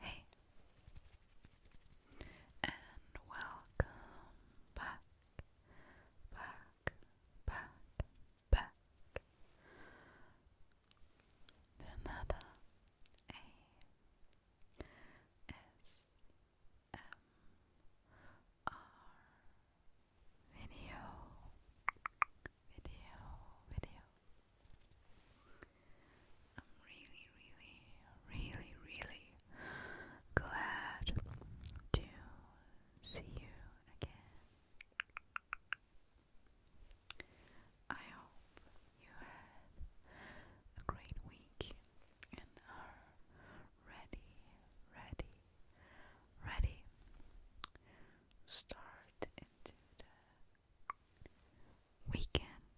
Hey, and welcome back, back, back, back another A. S video, video, video. I'm really, really, really, really glad to see you again. I hope you had a great week and are ready, ready, ready. Start into the weekend.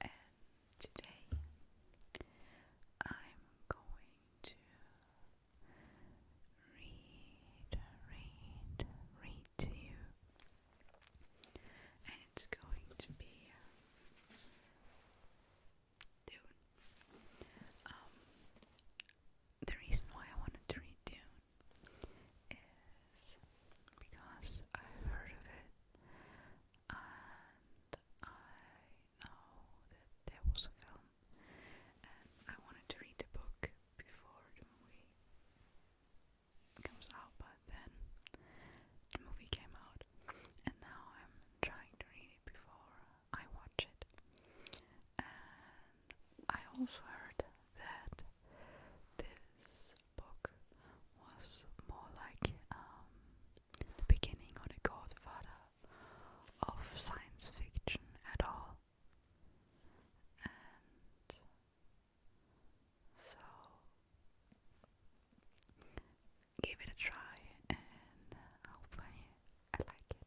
And today I'm going to read, read, read to you. And it's going to be Dune. Um, the reason why I wanted to read Dune is because I've heard of it and I know that there was a film and I wanted to read the book before the movie comes out, but then the movie came out, and now I'm trying to read it before I watch it. And I also heard that this book was more like um, the beginning or the godfather of science fiction at all. so give it a try and uh, hopefully I like it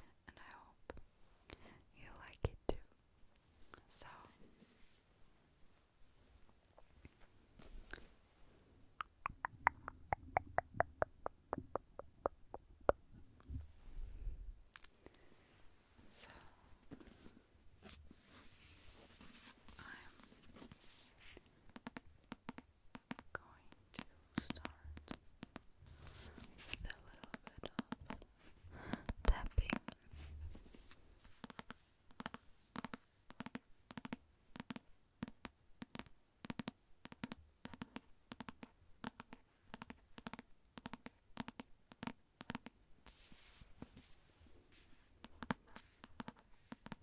and I hope you like it too. So so I'm going to start with a little bit of tapping.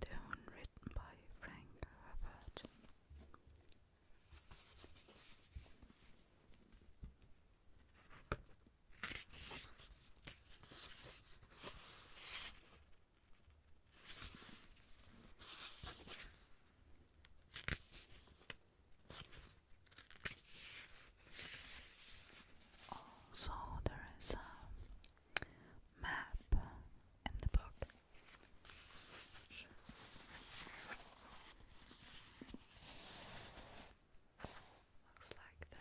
Down written by Frank Herbert. Also, there is a map in the book Sure. Looks like that.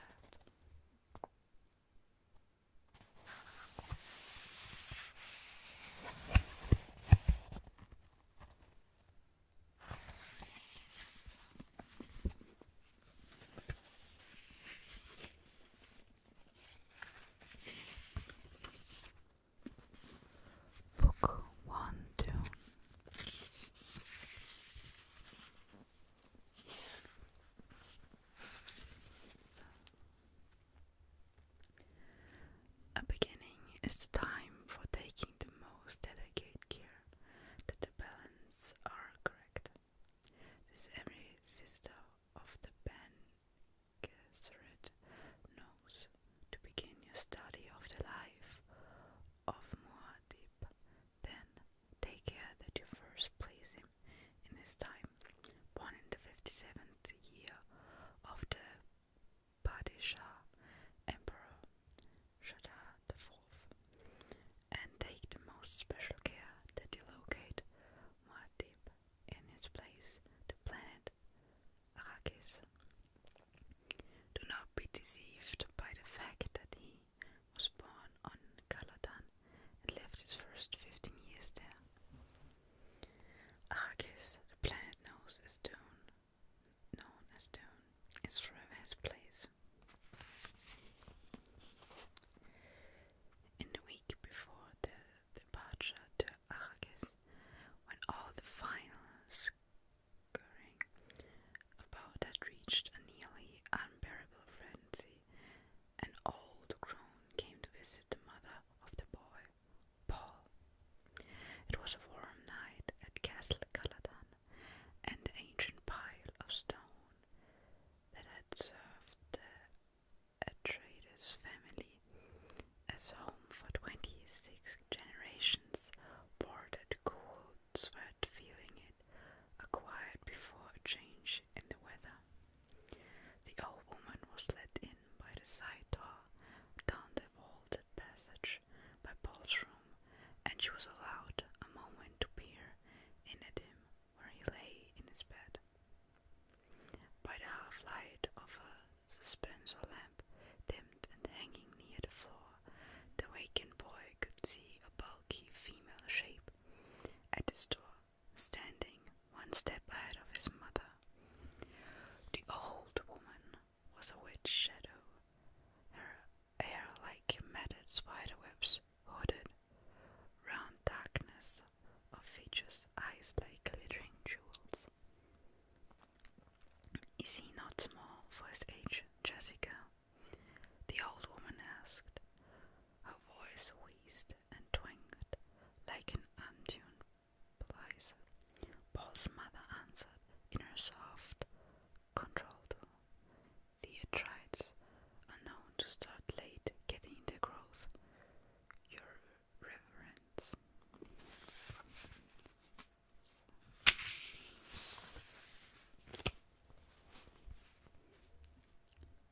Book one, two. a beginning is the time for taking the most delicate care that the balance are correct. This every sister of the band Gesserit knows to begin your study of the life of Muad'Dib. Then take care that you first place him in his time, born in the fifty-seventh year of the Padishah Emperor Shadda the Fourth, and take the most special care that you locate Muad'Dib in its place the planet Arrakis. Do not be deceived by the fact that he was born on Caladan and left his first 15 years there. Arrakis, the planet knows as Dune, known as Dune, is forever his place. In the week before the departure to Arrakis, when all the final scurrying about had reached a nearly unbearable frenzy, an old crone came to visit the mother of the boy, Paul. It was a warm night at Castle Caladan, and the ancient pile of stone that had served the a trader's family as home for 26 generations, bordered cool sweat feeling it acquired before a change in the weather. The old woman was let in by the side door down the vaulted passage by Paul's room, and she was allowed a moment to peer in at him where he lay in his bed. By the half light of a suspensor lamp, dimmed and hanging near the floor, the wakened boy could see a bulky female shape at the door, standing one step ahead of his mother. The old woman was a witch shadow, her hair like matted spiderwebs, hooded round darkness of features, eyes like glittering jewels. Is he not small for his age, Jessica? The old woman asked. Her voice wheezed and twanged like an untuned blizer. Paul's mother answered in her soft, controlled the Theatrites are known to start late getting their growth. Your reverence.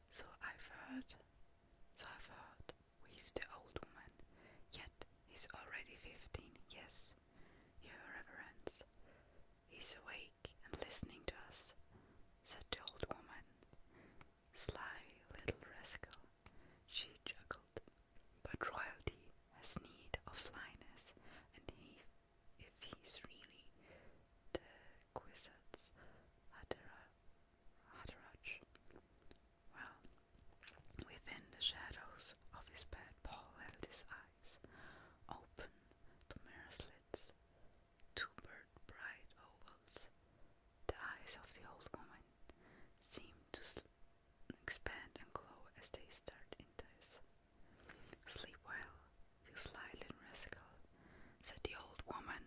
So I've heard, so I've heard, wheezed the old woman, yet he's already fifteen, yes, your reverence. He's away and listening to us, said the old woman. Sly little rascal, she chuckled. But royalty has need of slyness, and he, if he's really the Quisatz Hadarach, well, within the shadows of his bed, Paul held his eyes open to mirror slits two-bird bright ovals. The eyes of the old woman seemed to expand and glow as they stared into his. Sleep well, you sly little rascal, said the old woman.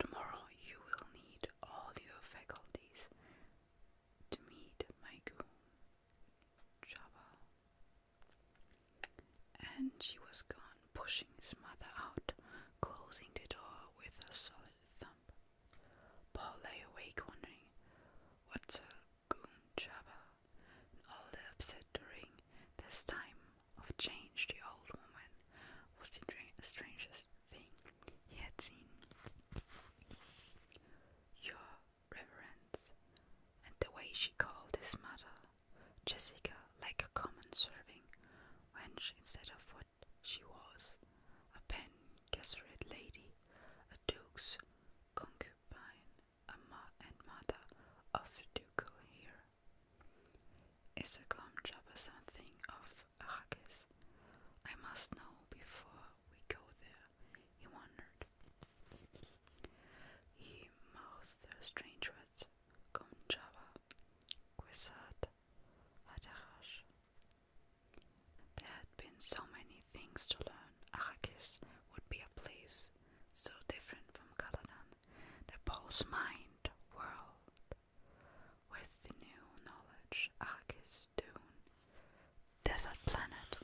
Tomorrow you will need all your faculties to meet my goon, Java. And she was gone, pushing his mother out, closing the door with a solid thump. Paul lay awake wondering, what's a goon jabber? And all the upset during this time of change the old woman was the strangest thing he had seen. Your reverence, and the way she called his mother Jessica, like a common serving wench instead of what she was, a pen gesserit lady, a duke's concubine, a ma and mother of the a heir. job jabba something of a Arrakis. I must know before we go there, he wondered. He mouthed the strange الأرض Konjava, Quisat, There had been so many things to learn. Arakis would be a place so different from Caladan that Paul's mind whirled. With the new knowledge, Arakis Dune, Desert Planet.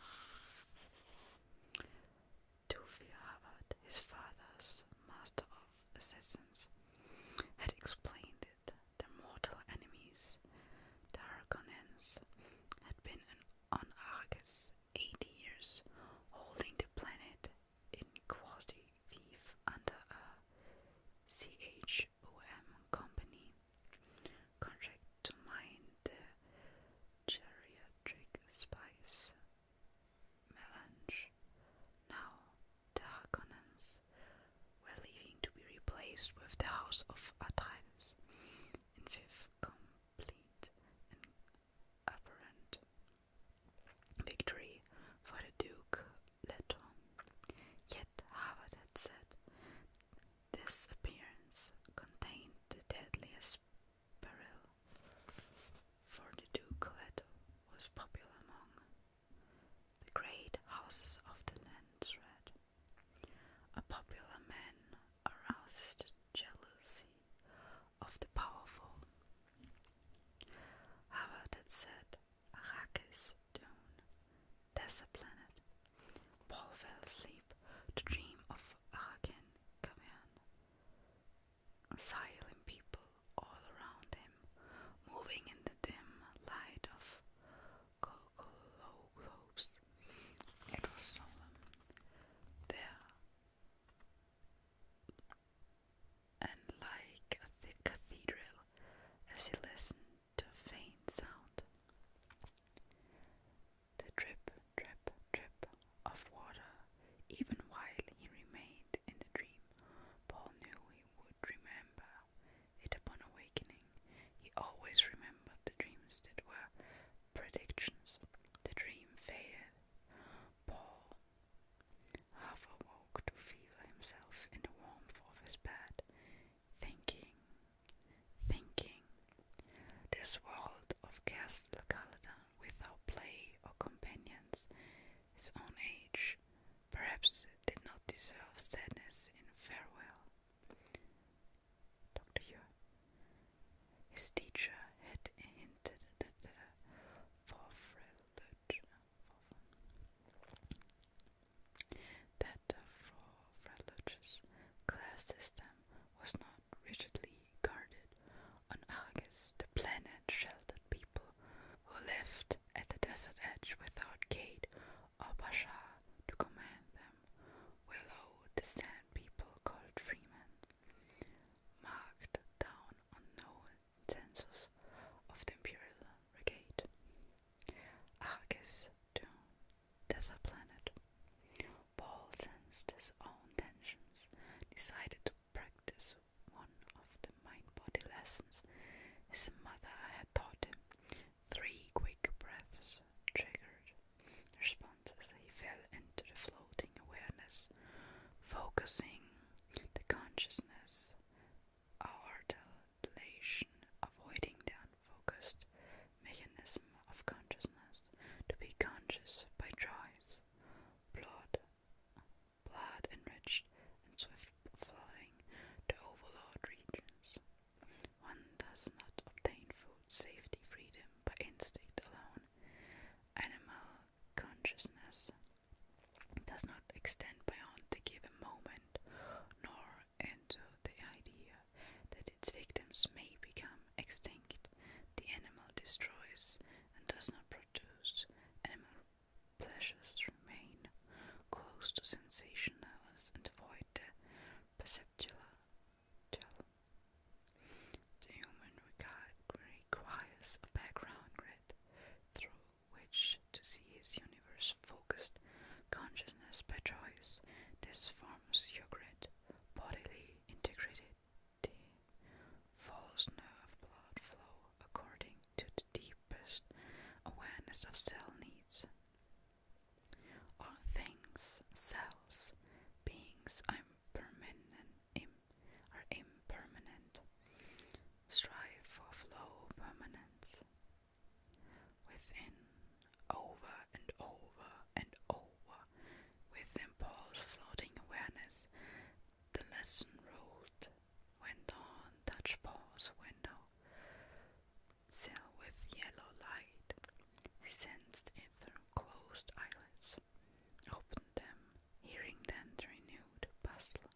Toofy Harvard, his father's master of assassins, had explained it. their mortal enemies, the Harkonnens, had been on Argus eighty years, holding the planet in quasi-thief under a CHOM company contract to mine the geriatric spice melange. Now, the Harkonnens were leaving to be replaced with the house of Atreides, in fifth complete and apparent victory for the Duke Leto. Yet however had said this appearance contained the deadliest Perel for the ducalet was popular among the great houses of the Landsred. A popular man aroused jealousy of the powerful. Harvard had said, Arrakis Dune, that's a planet. Paul fell asleep to dream of Arakin Camion silent people all around him, moving in the dim light of cocoa globes. It was solemn. There and like a thick cathedral as he listened to a faint sound the drip, drip, drip of water. Even while he remained in the dream, Paul knew he would remember it upon awakening. He always remembered the dreams that were predictions. The dream faded. Paul half awoke to feel himself in the warmth of his bed, thinking, thinking, this world of Castle Caledon without play or companions, his own age, perhaps did not deserve sadness in farewell. Dr. Ure. His teacher had hinted that the forfrelage that the for class system was not rigidly guarded. On Argus, the planet sheltered people who lived at the desert edge without gate or pasha to command them. Willow, the sand people called freemen, marked down on no census of the imperial regate. Argus, the desert planet, Paul sensed his own tensions, decided to practice one of the mind-body lessons his mother had taught him. Three quick breaths triggered responses. He fell into the floating awareness, focusing the consciousness, our dilation, avoiding the unfocused mechanism of consciousness to be conscious by choice, blood, blood enriched and swift flooding to overlord regions. One does not obtain food safety freedom by instinct alone. Animal consciousness does not extend beyond the given moment nor into the idea that its victims may become extinct. The animal destroys and does not produce. Animal pleasures remain close to sensation levels and avoid the perceptual. The human requires a background grid through which to see his universe focused consciousness by choice. This forms your grid bodily integrity, false nerve blood flow according to the deepest awareness of cell needs. All things, cells, beings impermanent, are impermanent. Strive for flow permanence. Within, over and over and over with St. floating awareness, the lesson rolled, went on, touch Paul's window. Cell with yellow light. sensed in their closed eyelids, opened them, hearing then the renewed bustle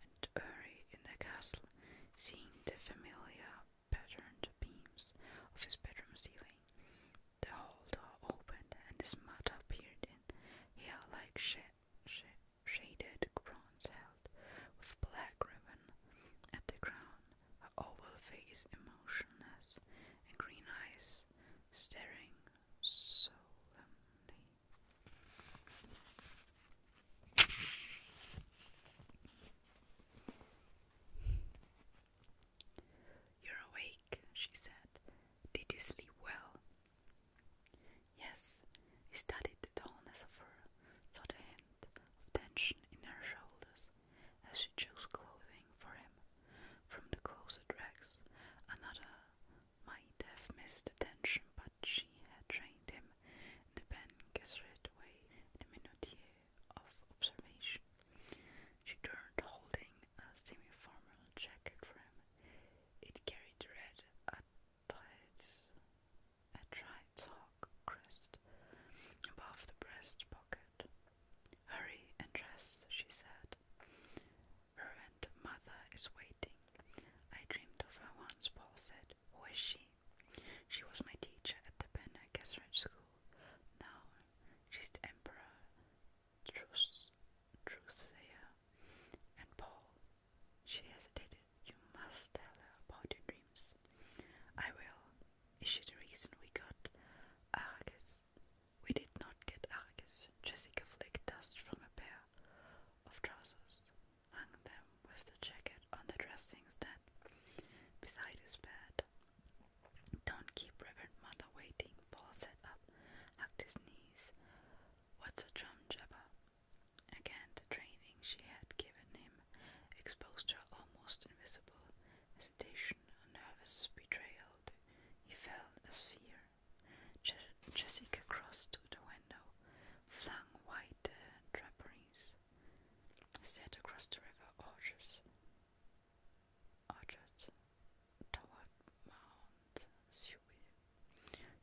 and hurry in the castle, seeing the familiar patterned beams of his bedroom ceiling. The hall door opened, and his mother appeared in hair like sh shaded bronze held with black ribbon at the crown, her oval face emotionless, and green eyes staring solemnly. You're awake, she said. Did you sleep well? Yes, he studied the tallness of her, saw the hint of tension in her shoulders as she chose clothing for him from the closet racks. Another might have missed the tension, but she had trained him in the Ben Gesserit way. The minutier of observation. She turned, holding a semi-formal jacket frame. It carried red atrides, atrides hawk crest above the breast pocket. Hurry and dress, she said. Her and mother is waiting. I dreamed of her once, Paul said. Who is she? She was my teacher at the Penna Gesserit School. Now she's the Emperor Drusilla and Paul. She hesitated. You must tell her about your dreams. I will. Is she the reason we got Argus? We did not get Argus. Jessica flicked dust from a pair of trousers, hung them with the jacket on the dressing stand beside his bed. Don't keep Reverend Mother waiting, Paul sat up, hugged his knees. What's a drum jabber? Again, the training she had given him exposed her almost invisible hesitation, a nervous betrayal. He felt a fear. Jessica crossed to the window, flung wide uh, draperies set across the river Orges, Orchard toward Mount Sui.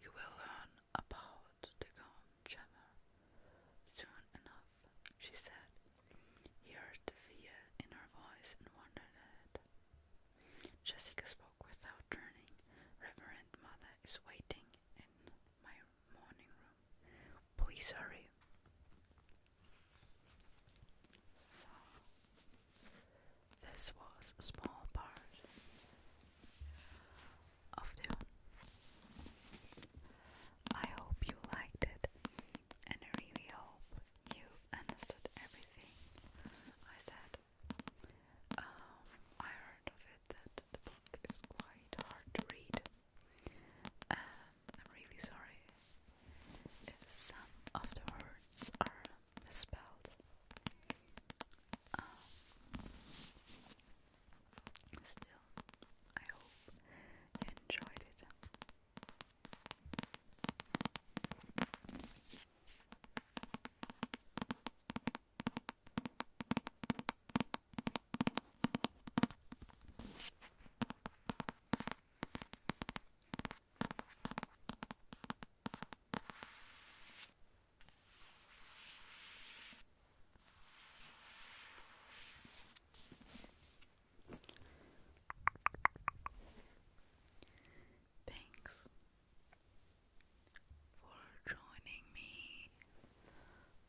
You will learn about the Gaunt soon enough, she said. He heard the fear in her voice and wondered at Jessica spoke without turning. Reverend Mother is waiting in my morning room. Please hurry. So, this was a small part of Dune. I hope you liked it, and I really hope you understood everything I said. Um, I heard of it that the book is quite hard to read. Um, I'm really sorry. Some of the words are misspelled. Um, still, I hope you enjoyed it. Thanks for joining me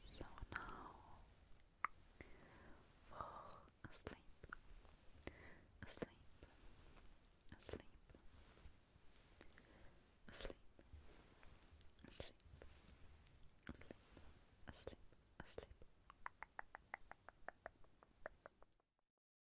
so now fall asleep, asleep, asleep, asleep, asleep, asleep, asleep, asleep.